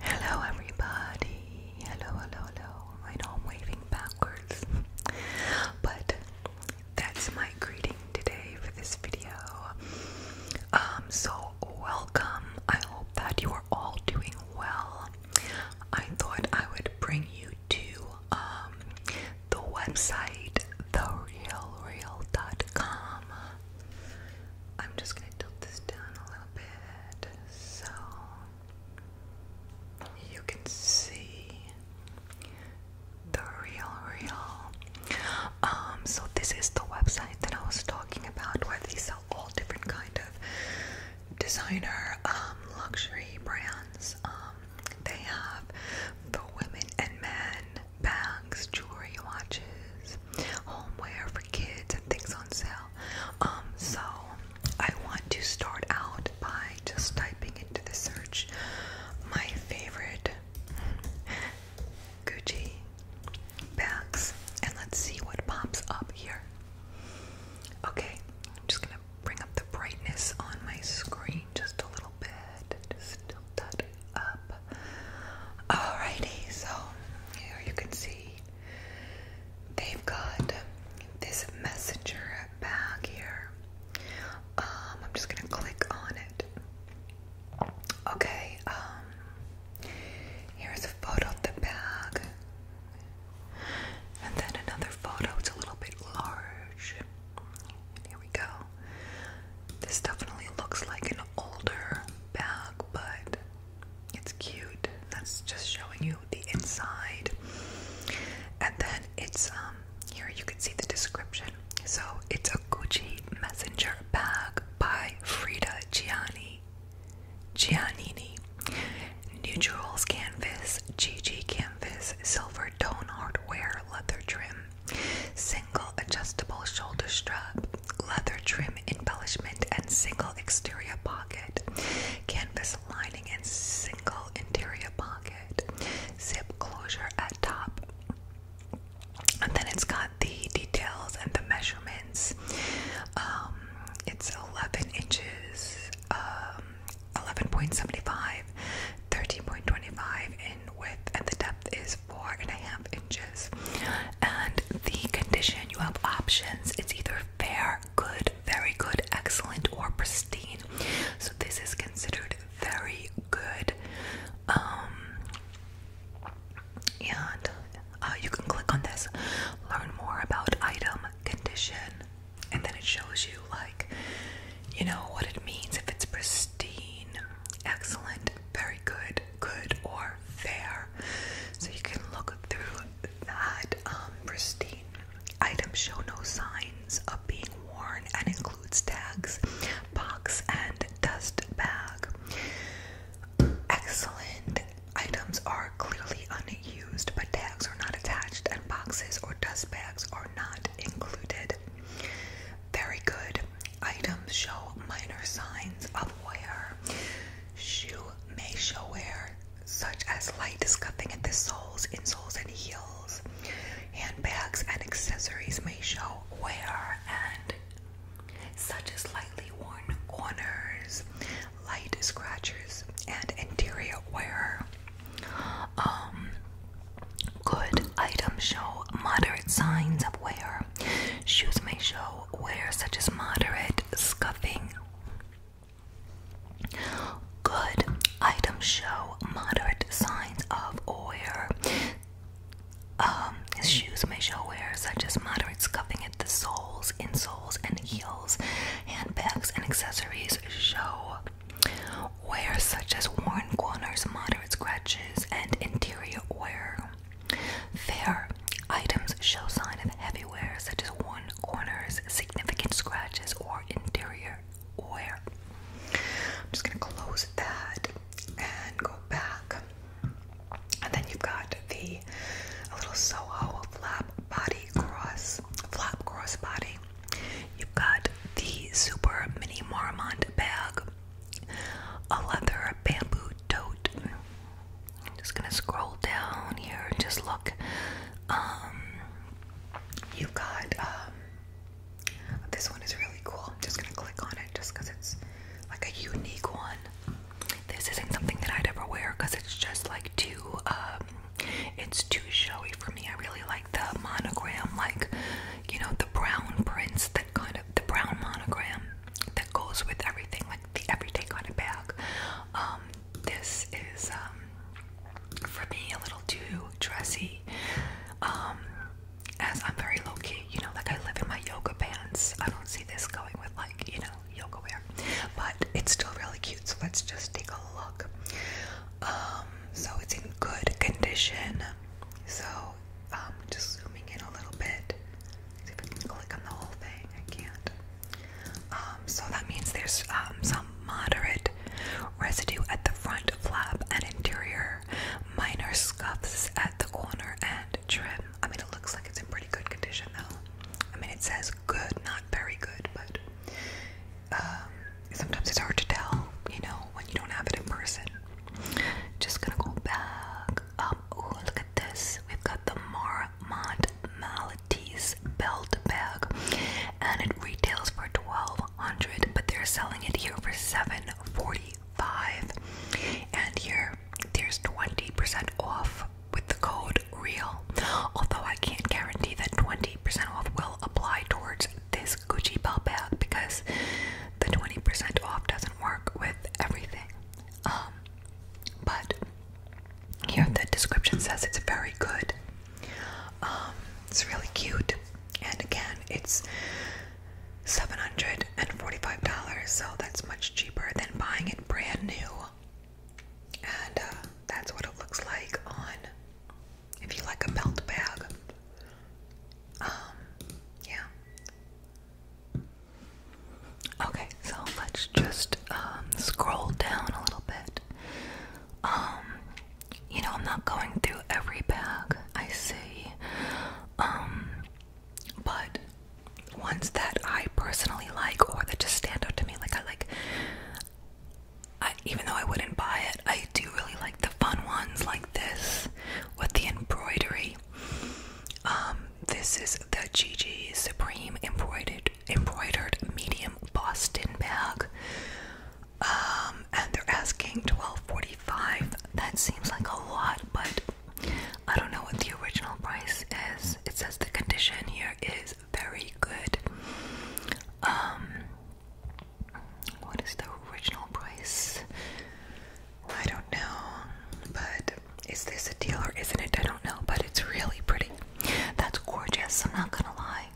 Hello, everybody. Hello, hello, hello. I know I'm waving backwards, but that's my greeting today for this video. Um, so welcome. I hope that you are all doing well. I thought I would bring you to um the website therealreal.com I'm just gonna tilt this down a little bit so you can see the real real. Um so this is the website that I was talking about where they sell all different kind of designer um luxury brands. Um they have the women and men bags, jewelry, watches, homeware, kids and things on sale. Um, so I want to start out by just typing into the search my favorite Gucci bags and let's see what pops up here. Okay, I'm just gonna bring up the brightness on my screen just a little bit. Just tilt that Alrighty, so here you can see they've got this messenger bag here. Um, I'm just gonna click on it. Okay, um, here's a photo of the bag, and then another photo. It's a little bit large. Here we go. This definitely looks like an older bag, but it's cute. That's just showing you the inside. And then it's um here you can see the description. So it's a Gucci messenger bag by Frida Gianni Giannini. Neutrals canvas, GG canvas, silver tone hardware, leather trim single adjustable shoulder strap, leather trim embellishment, and single exterior pocket, canvas lining, and single interior pocket, zip closure at top. And then it's got the details and the measurements. Um, it's 11 inches, um, 11.75, 13.25 in width, and the depth is four and a half inches. And the condition you have options it's either fair, good, very good, excellent, or pristine. So this is considered very good. Um, and uh, you can click on this, learn more about item condition, and then it shows you, like, you know, what it means if it's pristine, excellent, very good, good, or are fair. So you can look through that um, pristine. Items show no signs of being worn and includes tags, box, and dust bag. Excellent. Items are clearly unused, but tags are not attached, and boxes or dust bags are not included. Very good. Items show minor signs of wear. Shoe may show wear, such as light scuffing at the soles, insoles, and heels. Handbags and accessories may show wear, and such as lightly worn corners, light scratches, and interior wear. Um, could items show moderate signs of wear? Shoes may show wear such as moderate scuffing. Good items show moderate signs of wear. Um, shoes may show wear such as moderate scuffing at the soles, insoles, and heels. Handbags and accessories show wear such as worn corners, moderate scratches, and interior wear. Fair. Items show sign of heavy wear, such as worn corners, significant scratches, or interior wear. I'm just gonna close that and go back. And then you've got the little Soho flap body cross, flap cross body. You've got the super mini Marmont bag a leather bamboo tote. I'm just gonna scroll down here and just look. Um, you've got um, this one is really cool. I'm just gonna click on it just it's like a unique one. This isn't something that I'd ever wear it's just like too um, it's too showy for me. I really like the monogram, like you know the brown prints that kind of the brown monogram that goes with everything, like the everyday kind of bag. Um, this is um, for me a little too dressy. Um, as I'm very low key, you know, like I live in my yoga pants. I don't see this going with like, you know, yoga wear. But it's still really cute, so let's just take a look. so it's in good condition. So um, just zooming in a little bit. click on the whole thing. I can't. Um, so that means there's um, some moderate residue at the front flap and interior, minor scuffs at the corner and trim. I mean, it looks like it's in pretty good condition though. I mean, it says good, not very good, but sometimes it's hard to tell, you know, when you don't have it in person. Just gonna go back Oh, look at this. We've got the Marmont Maltese belt bag, and it retails for twelve hundred, but they're selling it here for seven forty-five. And here, there's twenty percent off with the code REAL. Although I can't guarantee that twenty percent off will apply towards this Gucci belt bag because the twenty percent off doesn't work with everything. Um, but here the description says it's very good. Um, it's really cute, and again, it's seven hundred and forty-five dollars, so that's much cheaper than buying it brand new. And uh, that's what it looks like on if you like a belt bag. Um, yeah. Okay, so let's just um, scroll down a little bit. Um, you know, I'm not going through every bag I see, um, but ones that I personally like or that just stand out to me, like I like. even though I wouldn't buy it, I do really like the fun ones like this with the embroidery. Um, this is the Gigi Supreme embroidered embroidered medium Boston bag. Um, and they're asking twelve forty five. That seems like a lot, but I don't know what the original price is. It says the condition here is very good. Um, what is the original price? I don't know, but is this a deal or isn't it? I don't know, but it's really pretty. That's gorgeous, I'm not gonna lie.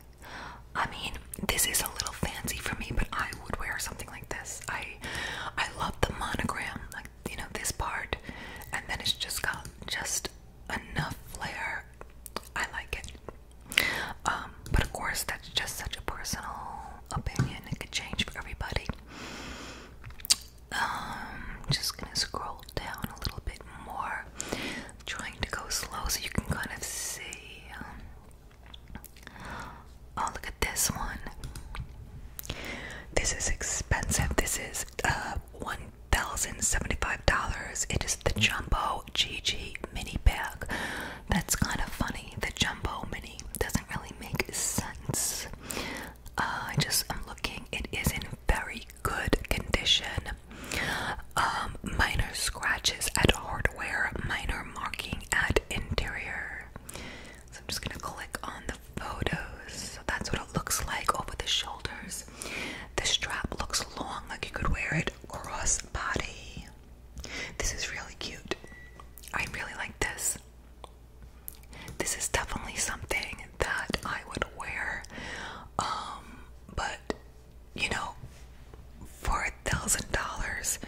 I mean, this is a little fancy for me, but I would wear something like this. I I love the monogram, like you know, this part, and then it's just got just enough flair. I like it. Um, but of course that's just such a personal opinion. It could change for everybody. I'm um, just gonna scroll down a little bit more. trying to go slow so you can kind of see. Um, oh, look at this one. This is expensive. This is uh, one thousand seventy-five dollars. It is the Jumbo GG mini bag. That's kind of funny. The Jumbo mini doesn't really make sense. Uh, just I'm looking. It is in very good condition. Um, minor scratches at hardware, minor marking at interior. So I'm just gonna click on the photos. So that's what it looks like over the shoulders. The strap looks long, like you could wear it cross body. This is really cute. I really like this. This is definitely something that I would wear, um, but you know, for a thousand dollars,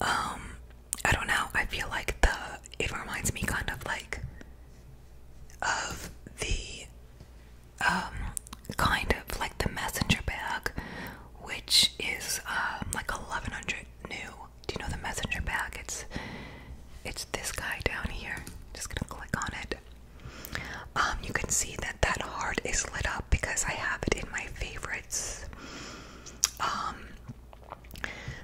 um, I don't know. I feel like the it reminds me kind of like of the um, kind of like the messenger bag, which is like eleven hundred new do you know the messenger bag? It's it's this guy down here. Just gonna click on it. Um, you can see that that heart is lit up because I have it in my favorites. Um,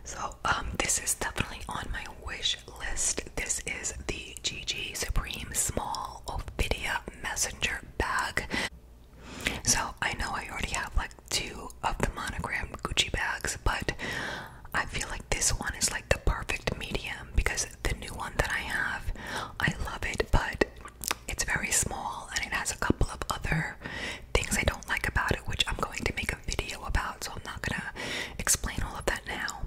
so um, this is definitely on my wish list. This is the GG Supreme Small Ophidia Messenger Bag. So I know I already have like two of the monogram Gucci bags, but I feel like this one is like the perfect medium because the new one that I have, I love it, but it's very small and it has a couple of other things I don't like about it, which I'm going to make a video about, so I'm not gonna explain all of that now.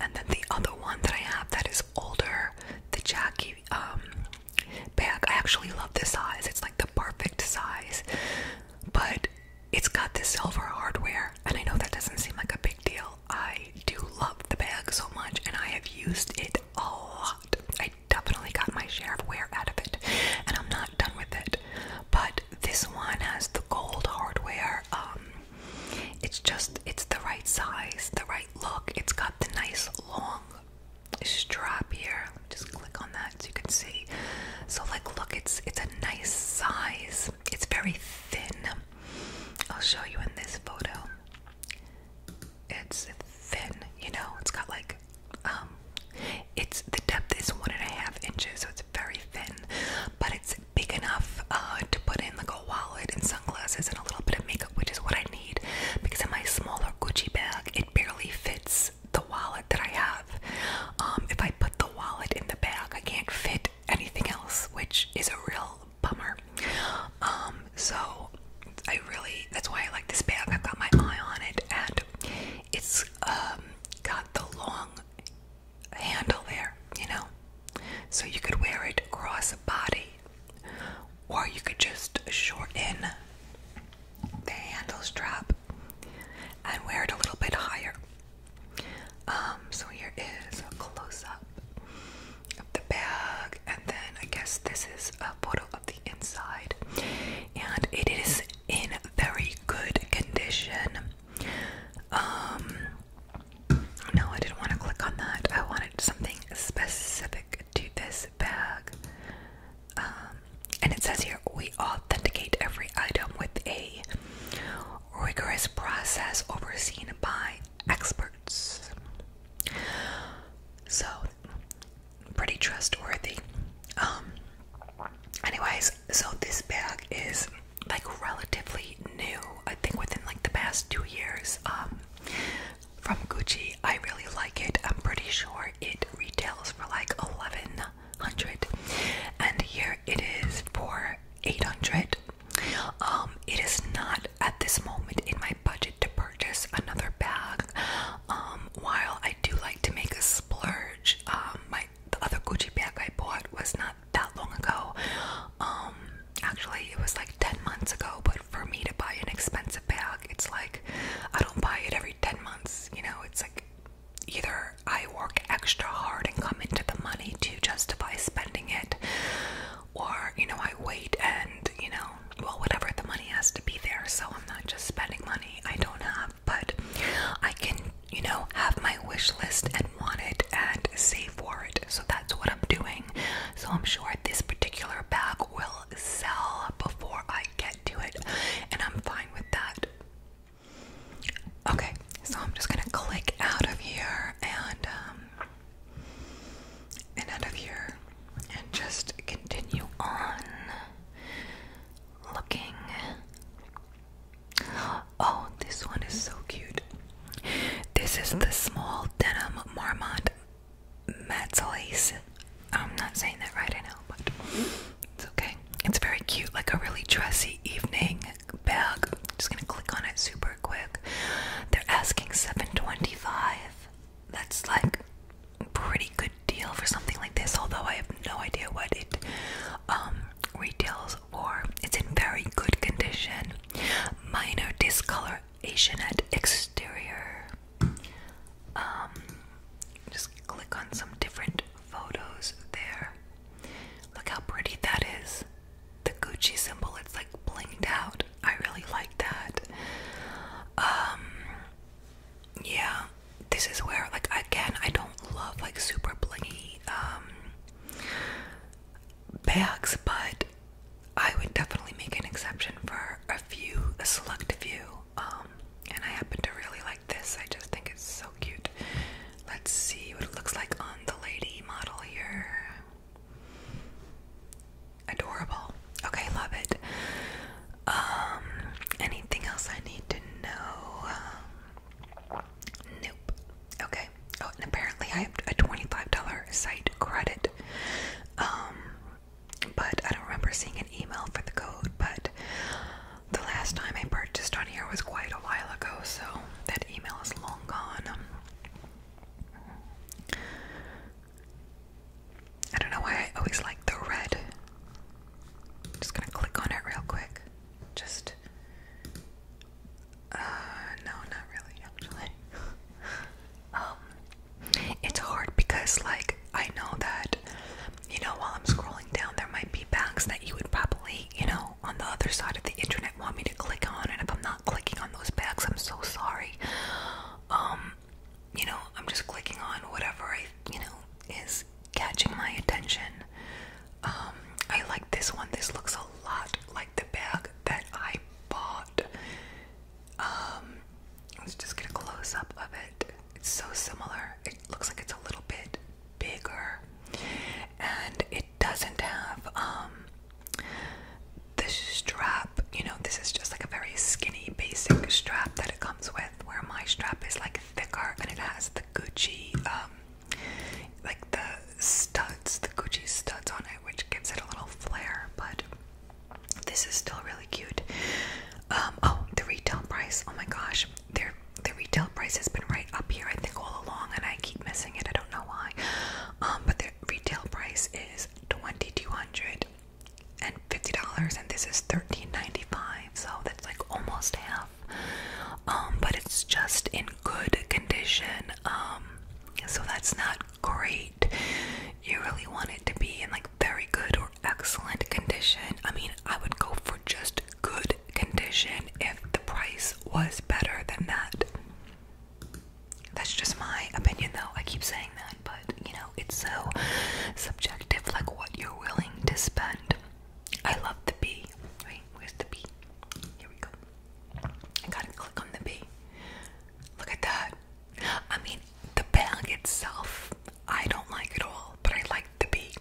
And then the other one that I have that is older, the Jackie um bag. I actually love this size. It's like the perfect size, but it's got the silver hardware, and I know that doesn't seem like a big deal. I do love the bag so much, and I have used it a lot. I definitely got my share of wear out of it, and I'm not done with it. But this one has the gold hardware. Um, it's just it's the right size, the right look. It's got the nice long strap here. Let me just click on that so you can see. So like look it's it's a nice size. It's very thin. I'll show you in this photo. It's thin, you know, it's got like um it's the depth is one and a half inches, so it's very thin, but it's big enough uh, to put in like a wallet and sunglasses and a little bit of makeup, which is what I need because in my smaller Gucci bag it barely fits the wallet that I have. Um, if I put the wallet in the bag, I can't fit anything else, which is a real bummer. Um, so I really, that's why I like this bag. I've got my eye on it, and it's um, got the long handle there, you know, so you could wear it across a body, or you could just shorten the handle strap and wear it a little bit higher. Um, so here is a close up of the bag, and then I guess this is a photo of the inside, and it is in very good condition. Um, no, I didn't want to click on that, I wanted something specific to this bag. Um, and it says here we authenticate every item with a rigorous process overseen by experts. So, pretty trustworthy. Um, anyways, so this bag is like relatively new, I think within like the past two years, um, from Gucci. I really like it. I'm pretty sure it retails for like 1100 and here it is for 800. Um, it is not at this moment in my budget to purchase another bag. Um, while I do like to make a splurge, um, my the other Gucci bag I bought was not that long ago. actually it was like 10 months ago, but for me to buy an expensive bag, it's like I don't buy it every 10 months. You know, it's like either I work extra hard and come into the money to justify spending it, or, you know, I wait and, you know, well, whatever, the money has to be there. So I'm not just spending money I don't have, but I can, you know, have my wish list and want it and save for it. So that's what I'm doing. So I'm sure this particular bag will will sell before I get to it, and I'm fine with that. Okay, so I'm just gonna click out of here and um, and out of here, and just continue on looking. Oh, this one is so cute. This is the small denim marmot mezzalace I'm not saying that right, I know, but it's okay. It's very cute, like a really dressy evening bag. just gonna click on it super quick. They're asking 725. That's like a pretty good deal for something like this, although I have no idea what it um, retails for. It's in very good condition. Minor discoloration at exterior um, just click on some different photos there. Look how pretty that is. The Gucci symbol, it's like blinked out. I really like that. Um, yeah, this is where, like, again, I don't love like super blingy um, bags, but I would definitely make an exception for a few, a select few um, um, and I happen to really like this. I just think it's so cute. Let's see what it looks like on the lady model here. Adorable. Okay, love it. Um, anything else I need to know? nope. Okay. Oh, and apparently I have a $25 site credit. Um, but I don't remember seeing an email for the code. But the last time I purchased on here was quite a while ago, so that email is long gone. I don't know why I always like the red. just gonna click on it real quick. Just. Uh, no, not really, actually. Um, it's hard because, like, I know that, you know, while I'm scrolling down, there might be bags that you would probably, you know, on the other side of the internet want me to click on. And if I'm not clicking on those bags, I'm so sorry. Um, you know, I'm just clicking on whatever I, you know, is catching my attention. Um, I like this one. This looks a lot like the bag that I bought um, let's just get a close up of it. It's so similar. It looks like it's a little bit bigger, and it doesn't have um the strap. You know, this is just like a very skinny, basic strap that it comes with. Where my strap is like thicker, and it has the Gucci um, like the studs, the Gucci studs on it, which gives it a little flare. But this is still really cute. Um, oh, the retail price. Oh my gosh, their the retail price has been right up here, I think, all along, and I keep missing it. I don't know why. Um, but the retail price is twenty two hundred and fifty dollars, and this is thirteen ninety five. So that's like almost half. Um, but it's just in good condition. so that's not great you really want it to be in like very good or excellent condition. I mean, I would go for just good condition if the price was better than that. That's just my opinion though. I keep saying that, but you know, it's so subjective like what you're willing to spend. I love the bee. Wait, where's the bee? Here we go. I gotta click on the bee. Look at that. I mean, the bag itself, I don't like it all, but I like the bee.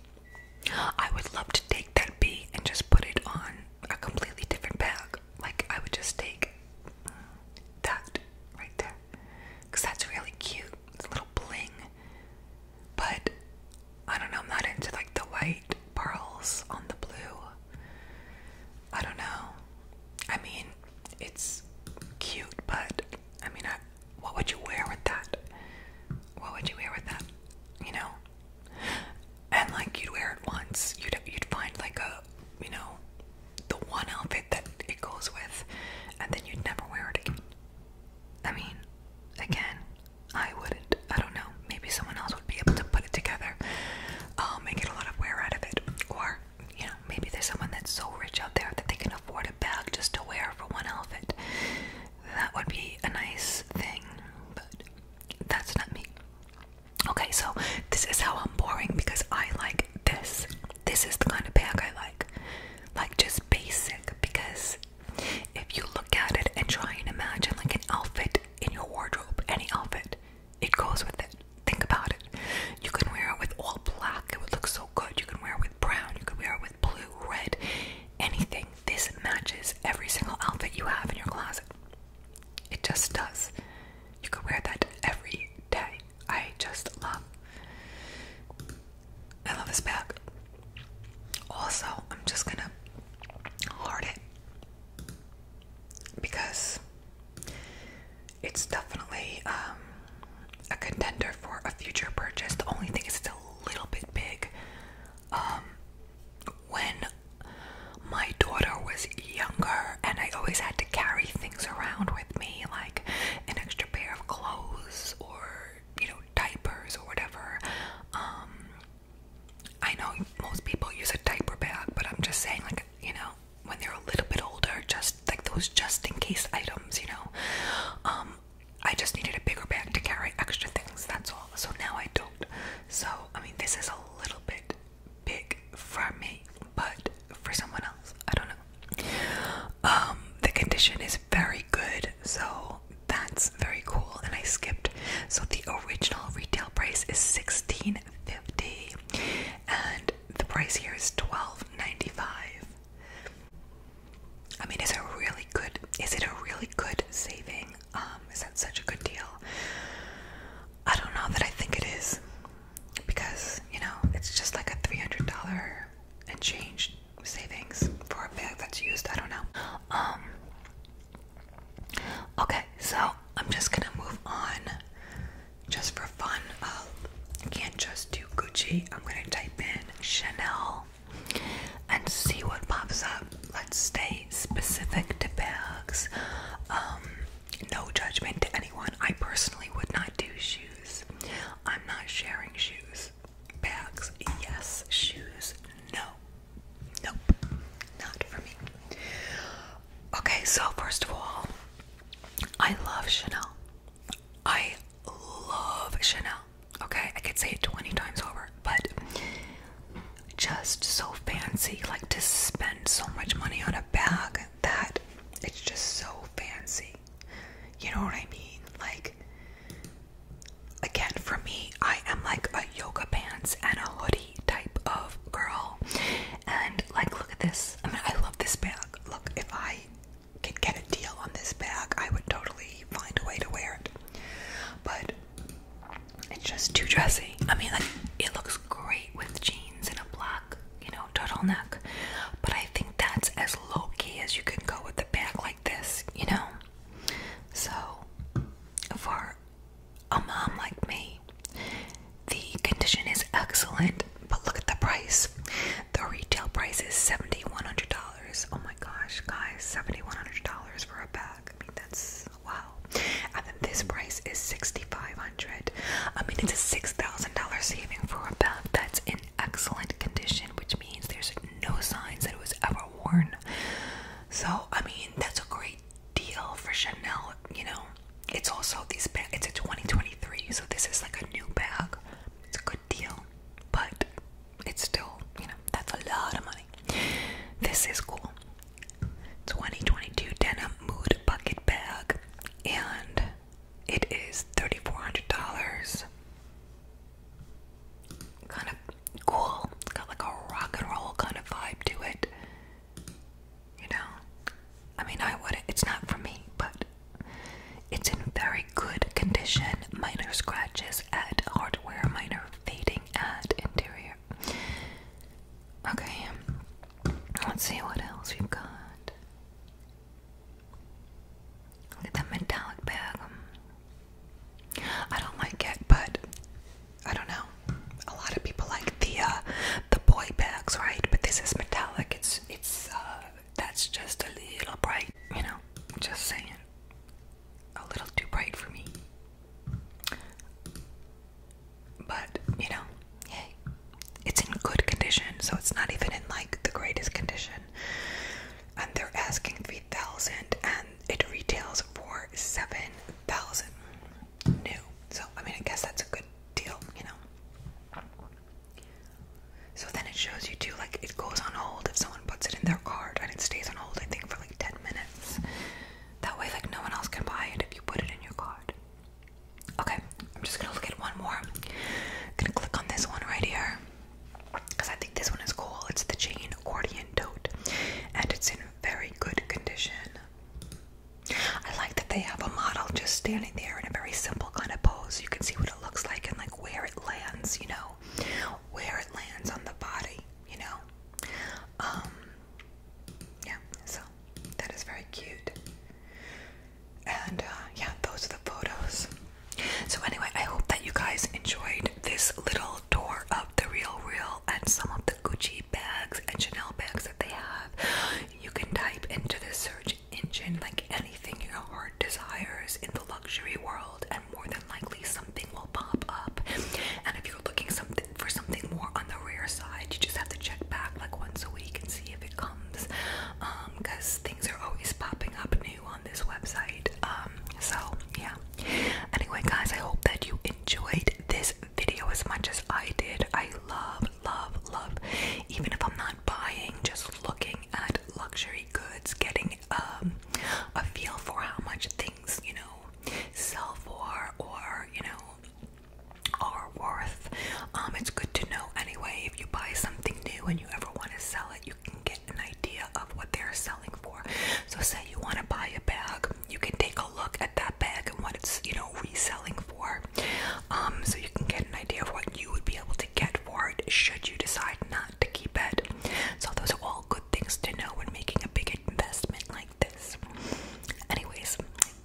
I would love to take that bee and just put it on a completely different bag. Like, I would just take that right there. Because that's really cute. little bling. But, I don't know, I'm not into like the white pearls on the blue. I don't know. I mean, it's cute, but I mean, I, what would you wear with that? What would you wear with that? You know? And like you'd wear it once. You'd you'd find like a you know the one outfit that it goes with and then you'd never wear it again. I mean, again, I wouldn't. I don't know. Maybe someone else would be able to put it together. Um uh, and a lot of wear out of it. Or, you know, maybe there's someone that's so rich out there that they can afford bag just to wear for one outfit. That would be a nice thing, but that's not me. Okay, so this is how I'm boring because I like this. This is the kind of bag I like. Like just basic because if you look at it and try and imagine like an outfit in your wardrobe, any outfit, it goes with it. Think about it. You can wear it with all black, it would look so good. You can wear with brown, you could wear with blue, red, anything. This matches every single outfit you have in your closet. It just does. You could wear that every day. I just love. I love this bag. Also, I'm just gonna hard it because it's definitely um, a contender for a future purchase. The only thing is it's a little bit big. Um, when my daughter was younger, and I always had to carry things around with me, like an extra pair of clothes or you know diapers or whatever. Um, I know most people use a diaper bag, but I'm just saying, like you know, when they're a little bit older, just like those just in case items, you know. Um, I just needed a bigger bag to carry extra things, that's all. So now I don't. So, I mean, this is a little bit big for me, but for someone else, I don't know. Um, the condition is very good, so that's very cool. And I skipped. So the original retail price is sixteen fifty, and the price here is twelve ninety five. I mean, is it a really good? Is it a really good saving? Um, is that such a good deal? I don't know that I think it is, because you know it's just like a three hundred dollar and change savings for a bag that's used. I don't know. Um, okay, so I'm just gonna move on just for fun of um, can't just do Gucci. I'm gonna type in Chanel and see what pops up. Let's stay specific to bags. Um, no judgment to anyone. I personally would not do shoes. I'm not sharing shoes. Bags, yes. Shoes, no. Nope. Not for me. Okay, so first of all, I love Chanel. I love Chanel. Okay, I could say it 20 times over, but just so fancy. Like to spend so much money on a bag that it's just so fancy. You know what I mean? Like, again, for me, I am like a yoga pants and a hoodie type of girl. And like, look at this. I mean, I love this bag. Look, if I could get a deal on this bag, I would totally find a way to wear it. But it's just too dressy. I mean, like it looks great with jeans and a black, you know, turtleneck. But I think that's as low key as you can go with a bag like this, you know. So for a mom like me, the condition is excellent, but look at the price. The retail price is $7,100. Oh my gosh, guys, $7,100 for a bag. I mean, that's wow. And then this price is $6,500. I mean, it's a $6,000 saving for a bag that's in excellent condition, which means there's no signs that it was ever worn. So, I mean, that's a great deal for Chanel, you know. It's also these bags, it's a 2023, so this is like a new bag. It's a good deal, but it's still, you know, that's a lot of money. This is cool. 2022 denim mood bucket bag, and it is $3,400. Kind of cool. got like a rock and roll kind of vibe to it. You know, I mean, I would. It's not for me, but it's in very good condition, minor scratches at hardware, minor fading at interior. Okay, let's see what else we've got. Look at that metallic bag. I don't like it, but I don't know. A lot of people like the uh, the boy bags, right? But this is metallic. It's it's uh, that's just a little bright, you know, just saying. A little too bright for me. But, you know, hey, it's in good condition, so it's not even in like the greatest condition. And they're asking 3,000 and it retails for 7,000 new. So, I mean, I guess that's a good deal, you know. So then it shows you too, like it goes on hold if someone puts it in their card and it stays on hold, I think, for like 10 minutes. That way, like, no one else can buy it if you put it in your card. Okay, I'm just gonna look at one more. I'm gonna click on this one right here because I think this one is cool. It's the chain accordion tote and it's in very good condition. I like that they have a model just standing there in a very simple kind of pose. You can see what it looks like and like where it lands, you know, where it lands on the body, you know. Um, yeah, so that is very cute. And uh, yeah, those are the photos. So, anyway, I hope that you guys enjoyed this little tour of the Real Real and some of the Gucci bags and Chanel bags that they have. You can type into the search engine like anything your heart desires in the luxury world and more than likely something will pop up and if you're looking for something more on the rare side you just have to check back like once a week and see if it comes because um, things are always popping up new on this website um, so yeah anyway guys i hope that you enjoyed this video as much as i did i love love love even if i'm not not buying, just looking at luxury goods, getting um, a feel for how much things, you know, sell for or, you know, are worth. Um, it's good to know anyway. If you buy something new and you ever want to sell it, you can get an idea of what they're selling for. So, say you want to buy a bag, you can take a look at that bag and what it's, you know, reselling for. Um, so you can get an idea of what you would be able to get for it should you decide not to keep it. So those are all good things to know when making a big investment like this. Anyways,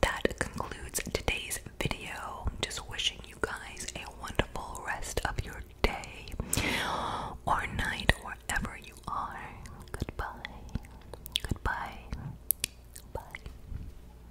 that concludes today's video. Just wishing you guys a wonderful rest of your day or night, wherever you are. Goodbye. Goodbye. Bye.